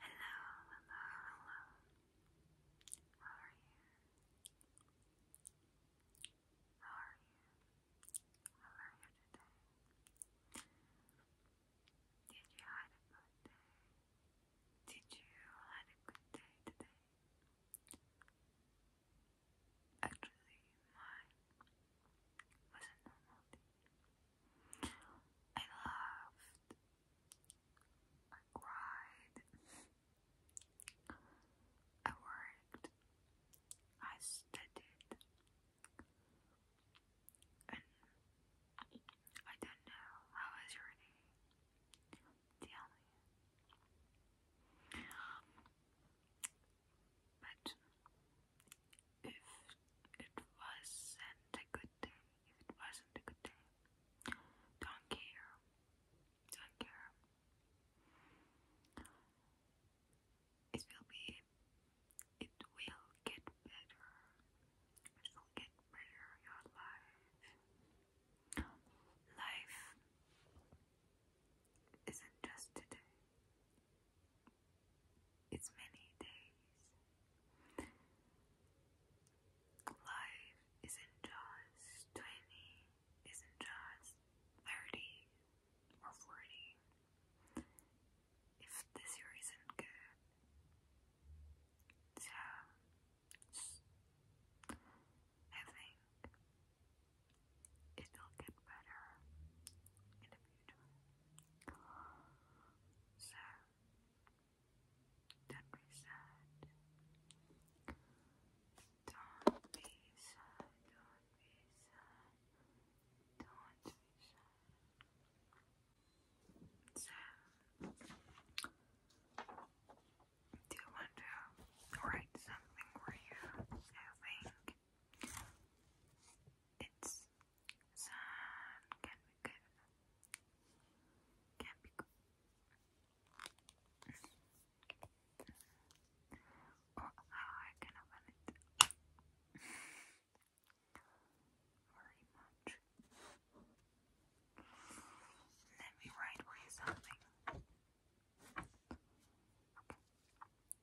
Hello, hello, hello. How are you? How are you? How are you today? Did you have a good day? Did you have a good day today? Actually, mine was a normal day. I laughed. I cried. I worked. I studied. And I don't know how your day. But if it wasn't a good day, if it wasn't a good day, don't care, don't care. It will be, it will get better, it will get better, your life. Life isn't just today, it's many days. Life isn't just 20, isn't just 30 or 40. If this year isn't good, so I think it will get better so don't be sad. Don't be sad. Don't be sad. So do you want to write something for you? it's Sun can be good. Can be good. Oh, I can open Very much. Let me write something. Okay.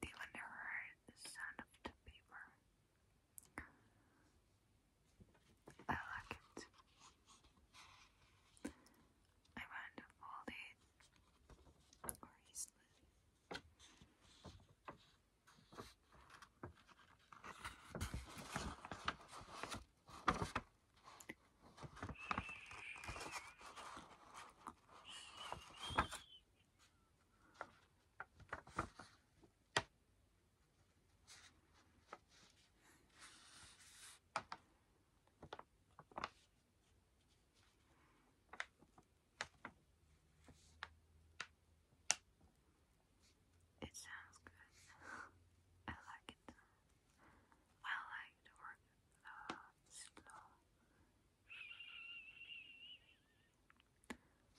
Do you ever the sound of the paper? I like it. I want to hold it gracefully. It sounds good. I like it. I like to uh, slow.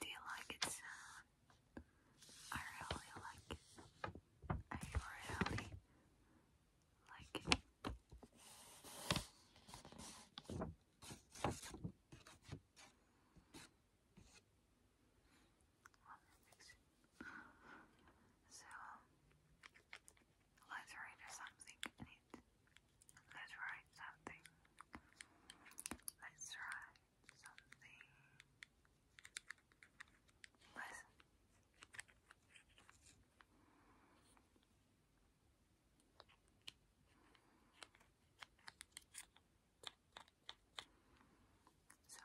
Do you like it I really like it. I really like it. Other fiction. So, let's write something Let's write something. Let's write something. Listen. So,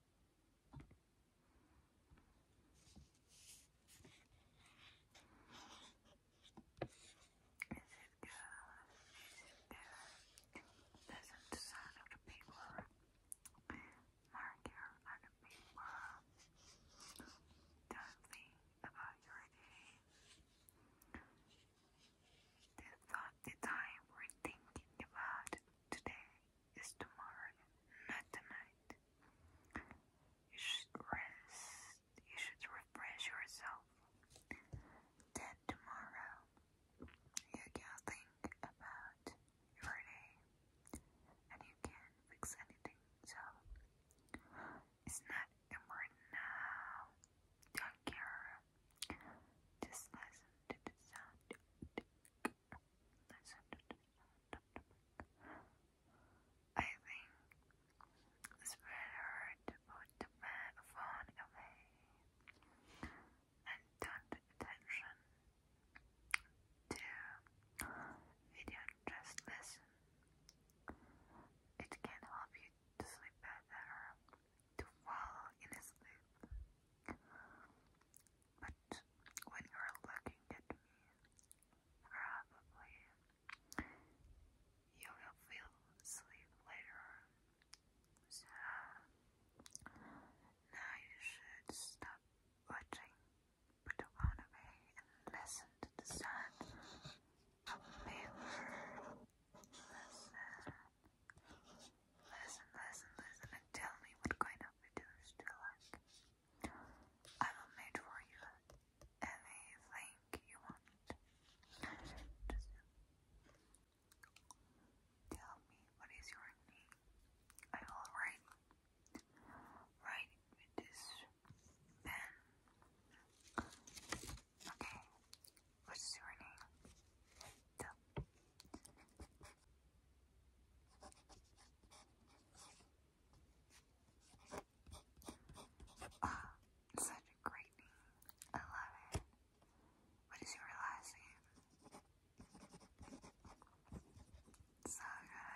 good? Listen to sound of the people. Mark your other people. Don't think about your day. The, the time we're thinking about today is tomorrow, not tonight. You should rest, you should refresh yourself. Then tomorrow, you can think about your day and you can fix anything. So, it's not important now. Don't care just listen to the sound. I think it's better to put the phone away and turn attention to video just listen. It can help you to sleep better to fall in sleep. But when you're looking at me, probably you will feel sleep later. now you should stop watching, put away, and listen to the sound of paper. Listen. Listen, listen, listen, and tell me what kind of videos you like. I will make for you anything you want. tell me what is your name. I will write, write with this pen. Okay, what is your name? Ah, such a great name. I love it. What is your last name? So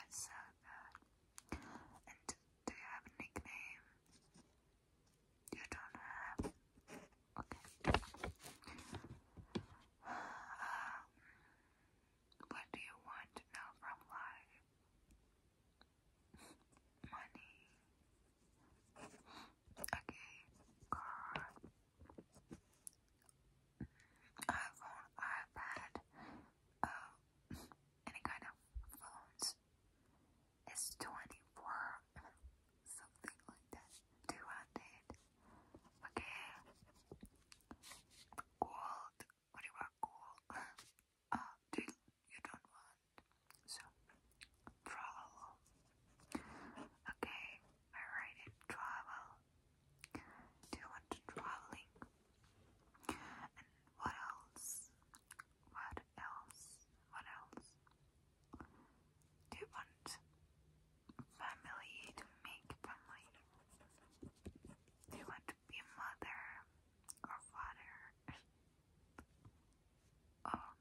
so good. And do you have a nickname? You don't have. Okay. Um, what do you want to know from life? Money. Okay. Car. iPhone, iPad, uh, any kind of phones. It's 24 something like that. 2 Okay. Gold. What do you want? Gold. Oh, do you, don't want. So, travel. Okay. Alright, travel. Do you want traveling? And what else? What else? What else? Do you want family to make family? Do want to be a mother or father? oh,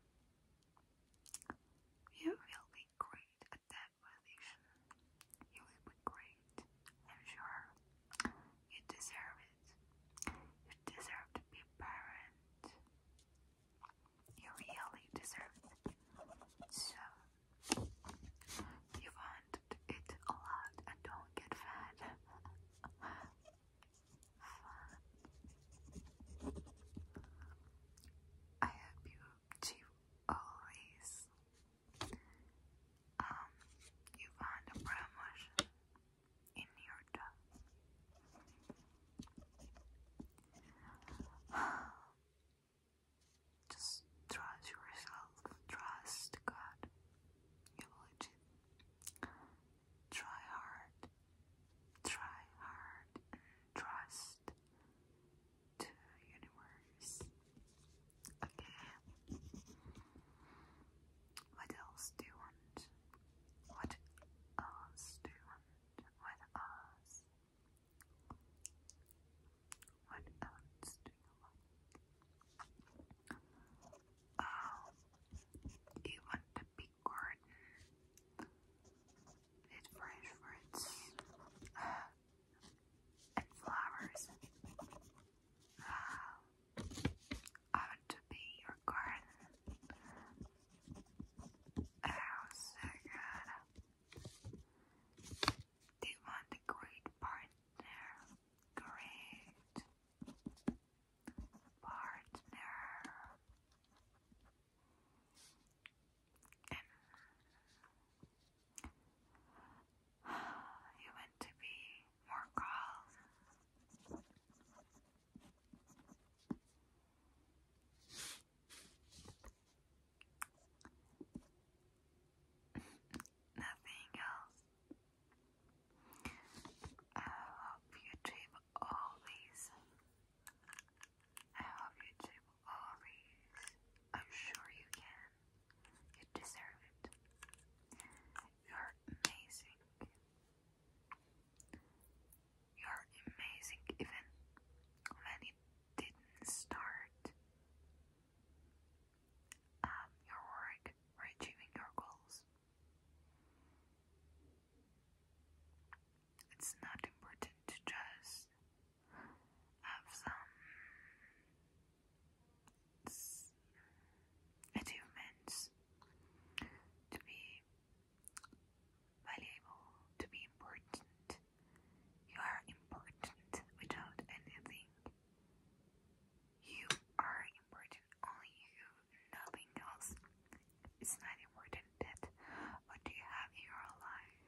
you will be great at that position. You will be great, I'm sure. You deserve it. You deserve to be a parent. You really deserve it. So, you want to a lot and don't get fat. I hope you achieve all these. Um, you want a promotion in your job. Just trust yourself. Trust God. You will achieve. Try hard. Try hard and trust to universe. Okay. What else do you want? What else do you want? with us. What else do you like? Oh, you want the big garden with fresh fruits uh, and flowers. Uh, I want to be your garden. Oh, so They want a great partner. Great partner. you want to be more calm. Nothing else. I hope you trip all these. I hope you trip all these. I'm sure you can. You deserve it. You're amazing. You're amazing even when it didn't start. Um, your work achieving your goals. It's not important to just have some achievements to be valuable, to be important. You are important without anything. You are important, only you, nothing else. It's not important that what you have in your life.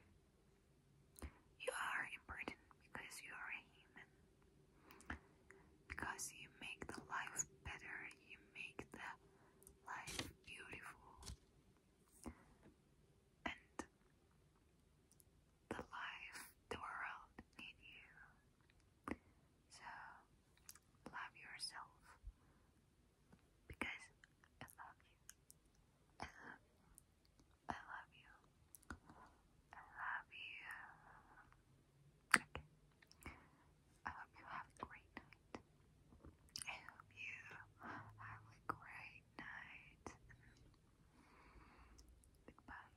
You are important because you are a human. Because you make the life better, you make the life beautiful and the life the world need you so love yourself because I love you I love I love you I love you okay I hope you have a great night. I hope you have a great night. Goodbye.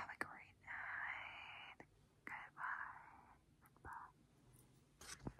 Have a great night. Goodbye. Goodbye.